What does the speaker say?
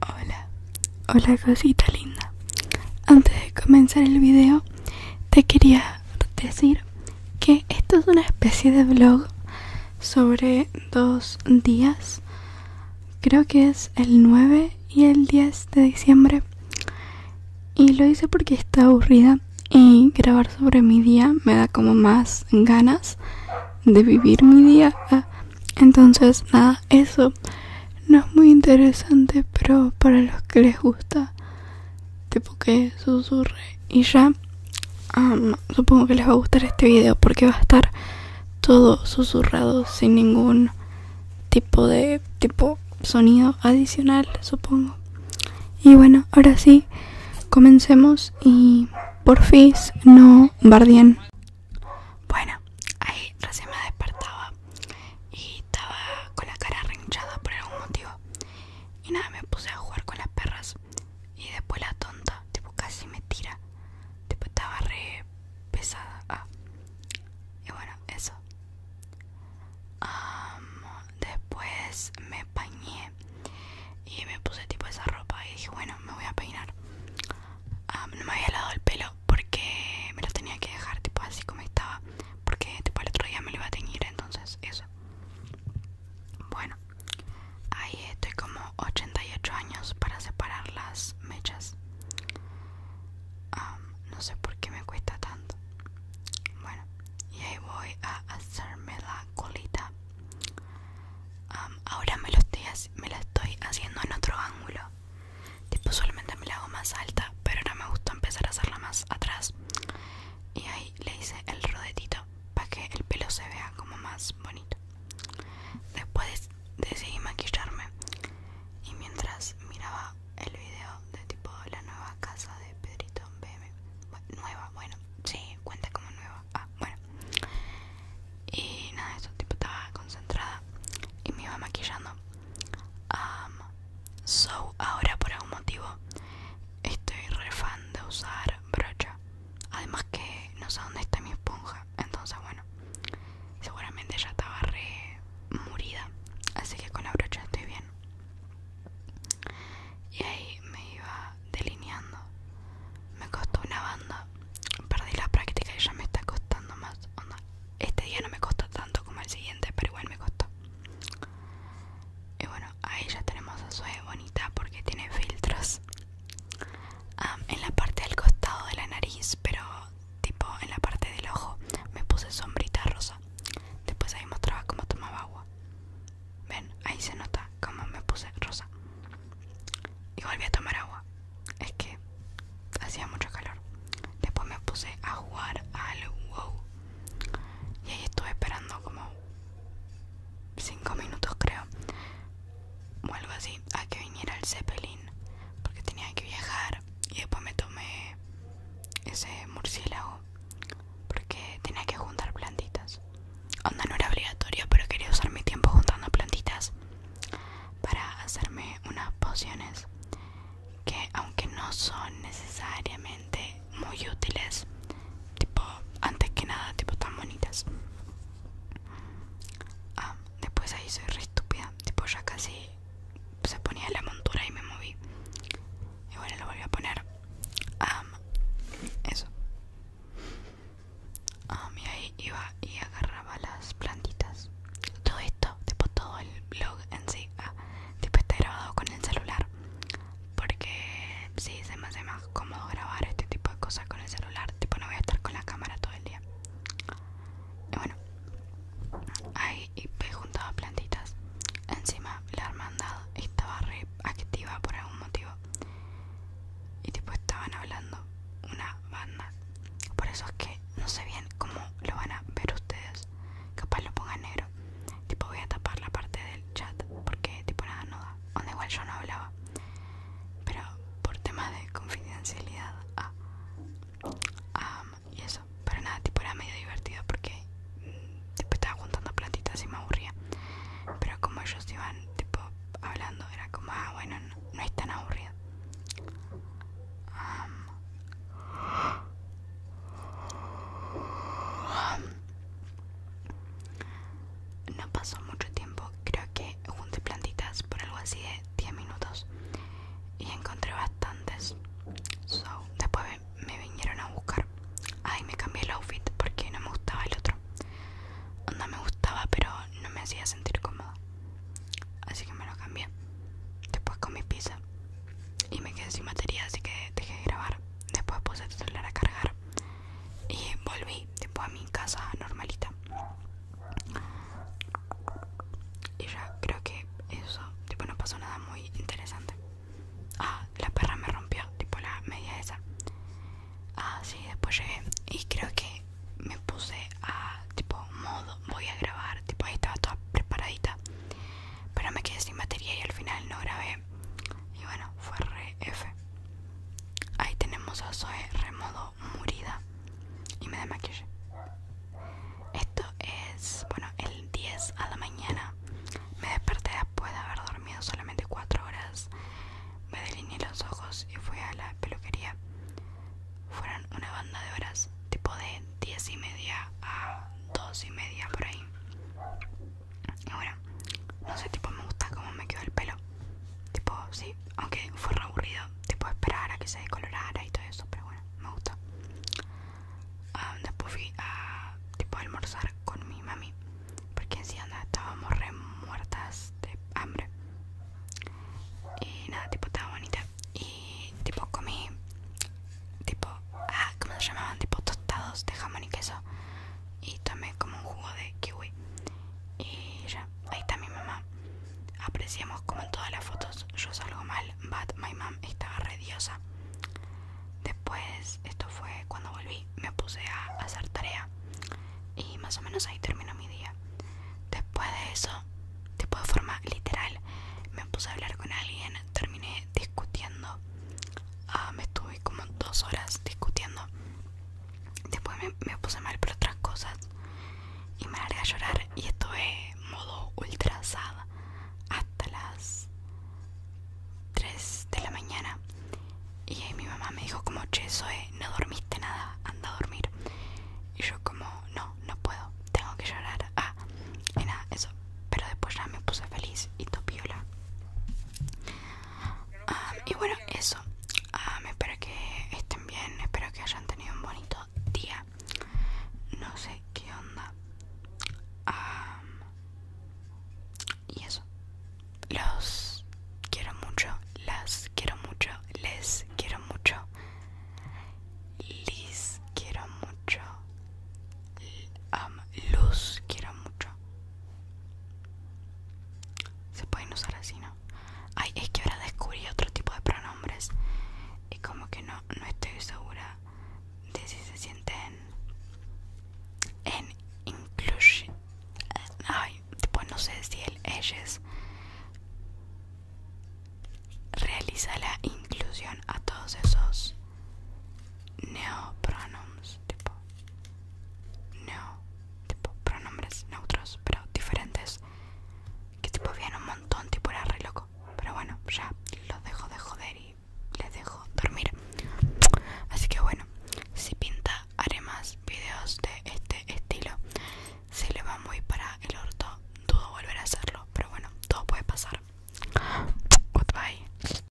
Hola, hola cosita linda. Antes de comenzar el video, te quería decir que esto es una especie de vlog sobre dos días. Creo que es el 9 y el 10 de diciembre. Y lo hice porque está aburrida y grabar sobre mi día me da como más ganas de vivir mi día. Entonces, nada, eso no es muy interesante, pero para los que les gusta, tipo que susurre y ya, um, supongo que les va a gustar este vídeo porque va a estar todo susurrado sin ningún tipo de tipo sonido adicional, supongo. Y bueno, ahora sí, comencemos y Porfis, no bardien. Bueno, ahí recién me despertaba y estaba con la cara arrinchada por algún motivo. Y nada, me puse a jugar con las perras. Y después la tonta, tipo, casi me tira. Tipo, estaba re pesada. Ah. Y bueno, eso. después me pañé y me puse tipo esa ropa y dije, bueno, me voy a peinar. Ah, no me había lavado el pelo porque me lo tenía que dejar tipo así como estaba, porque tipo el otro día me lo iba a teñir, entonces eso. Bueno, ahí estoy como 88 años para separar las mechas. Ah, no sé por qué me cuesta tanto. Bueno, y ahí voy a hacerme la colita ahora me, los estoy, me la estoy haciendo en otro ángulo tipo solamente me la hago más alta pero no me gusta empezar a hacerla más atrás y ahí le hice el rodetito para que el pelo se vea como más bonito después decidí maquillarme y mientras miraba el video de tipo la nueva casa de Pedrito BM nueva bueno sí, cuenta como nueva. Ah, bueno. Y nada, eso tipo estaba concentrada y me iba maquillando. so, ahora por algún motivo estoy re fan de usar brocha. Además que no sé dónde está mi esponja. Entonces, bueno, seguramente ya estaba re murida. Así que con la brocha estoy bien y ahí me iba delineando. Me costó una banda, perdí la práctica y ya me está costando más. Este día no me costó tanto como el siguiente, pero igual me costó. Y bueno, ahí ya tenemos a Sue bonita porque tiene filtros en la parte del costado de la nariz, pero tipo en la parte del ojo me puse sombrita rosa. Después ahí mostraba cómo tomaba agua. Ven, ahí se nota cómo me puse rosa. Y volví a tomar agua. Es que hacía mucho calor. Después me puse a jugar al WoW. Y ahí estuve esperando como 5 minutos creo. O algo así. A que viniera el Zeppelin. Porque tenía que viajar. Y después me tomé ese murciélago porque tenía que juntar plantitas. Onda no era obligatorio, pero quería usar mi tiempo juntando plantitas para hacerme unas pociones que aunque no son necesariamente muy útiles, tipo antes que nada, tipo tan bonitas. Ah, después ahí soy re estúpida, tipo ya casi se ponía la montura y me moví y bueno lo volví a poner eso y ahí iba y agarraba las plantitas todo esto tipo todo el blog en sí ah, tipo está grabado con el celular porque sí se me hace más cómodo grabar este tipo de cosas con el celular tipo no voy a estar con la cámara todo el día bueno, ahí juntaba plantitas. Encima la hermandad estaba re activa por algún motivo. Y tipo estaban hablando una banda. Por eso es que no sé bien cómo lo van a ver ustedes. Capaz lo ponga negro. Tipo voy a tapar la parte del chat porque tipo nada no da. Donde igual yo no hablaba. Pero por tema de confidencialidad ah, ah, y eso. Pero nada, tipo era medio divertido porque mm, tipo, estaba juntando plantitas y me aburría. Pero como ellos iban tipo hablando, era como, ah, bueno, no, es tan aburrido. no pasó mucho tiempo, creo que junté plantitas por algo así de 10 minutos y encontré bastantes. después me, vinieron a buscar. Ahí me cambié el outfit porque no me gustaba el otro. Onda me gustaba, pero no me hacía sentir cómodo Así que me lo cambié. Después con mi pizza y me quedé sin batería, así que dejé de grabar. Después puse el celular a cargar y volví después a mi casa normalita. Y ya creo que eso, tipo no pasó nada muy interesante. Ah, la perra me rompió, tipo la media esa. Ah, sí, después llegué y creo que me puse a tipo modo, voy a grabar, tipo ahí estaba toda preparadita. Pero me quedé sin batería y al final no grabé. Y bueno, fue re F. Ahí tenemos a Zoe Remodo murida y me desmaquillé. Esto es, bueno, el 10 a la mañana. Me desperté después de haber dormido solamente 4 horas. Me delineé los ojos y fui a la peluquería. Fueron una banda de horas, tipo de 10 y media a 2 y media por ahí. Y bueno, no sé, tipo me gusta cómo me quedó el pelo. Tipo, sí, aunque fue re aburrido Tipo esperar a que se descolorara y todo eso Pero bueno, me gustó ah, Después fui a tipo, almorzar con mi mami Porque en estábamos re muertas de hambre Y nada, tipo estaba bonita Y tipo comí Tipo, ah, ¿cómo se llamaban? Tipo tostados de jamón y queso Y tomé como un jugo de kiwi y ya, ahí está mi mamá. Apreciamos como en todas las fotos yo salgo mal, but my mom estaba radiosa Después, esto fue cuando volví, me puse a hacer tarea. Y más o menos ahí terminó mi día. Después de eso, tipo de forma literal, me puse a hablar con alguien, terminé discutiendo. Ah, me estuve como dos horas discutiendo Después me, puse mal por otras cosas y me largué a llorar y estuve modo ultra sad hasta las 3 de la mañana. Y mi mamá me dijo como, che, no dormiste nada, anda a dormir. Y yo como, no, no puedo, tengo que llorar. Ah, nada, eso. Pero después ya me puse feliz y topiola. Ah, y bueno, eso. Ah, espero que estén bien. Espero que hayan tenido un bonito día. No sé qué onda. Ah, y eso. Los quiero mucho. Las quiero mucho. Les quiero mucho. Liz quiero mucho. luz quiero mucho. Se pueden usar así, ¿no? Ay, es que ahora descubrí otro tipo de pronombres y como que no, no estoy segura de si se sienten en inclusión Ay, pues no sé si el ellos realiza la inclusión a todos esos neopronombres tipo no, tipo pronombres neutros, pero diferentes. Que tipo viene un montón, tipo era re loco. Pero bueno, ya los dejo de joder y les dejo dormir. Así que bueno, si pinta haré más videos de este estilo. Si le va muy para el orto, dudo volver a hacerlo. Pero bueno, todo puede pasar. Goodbye.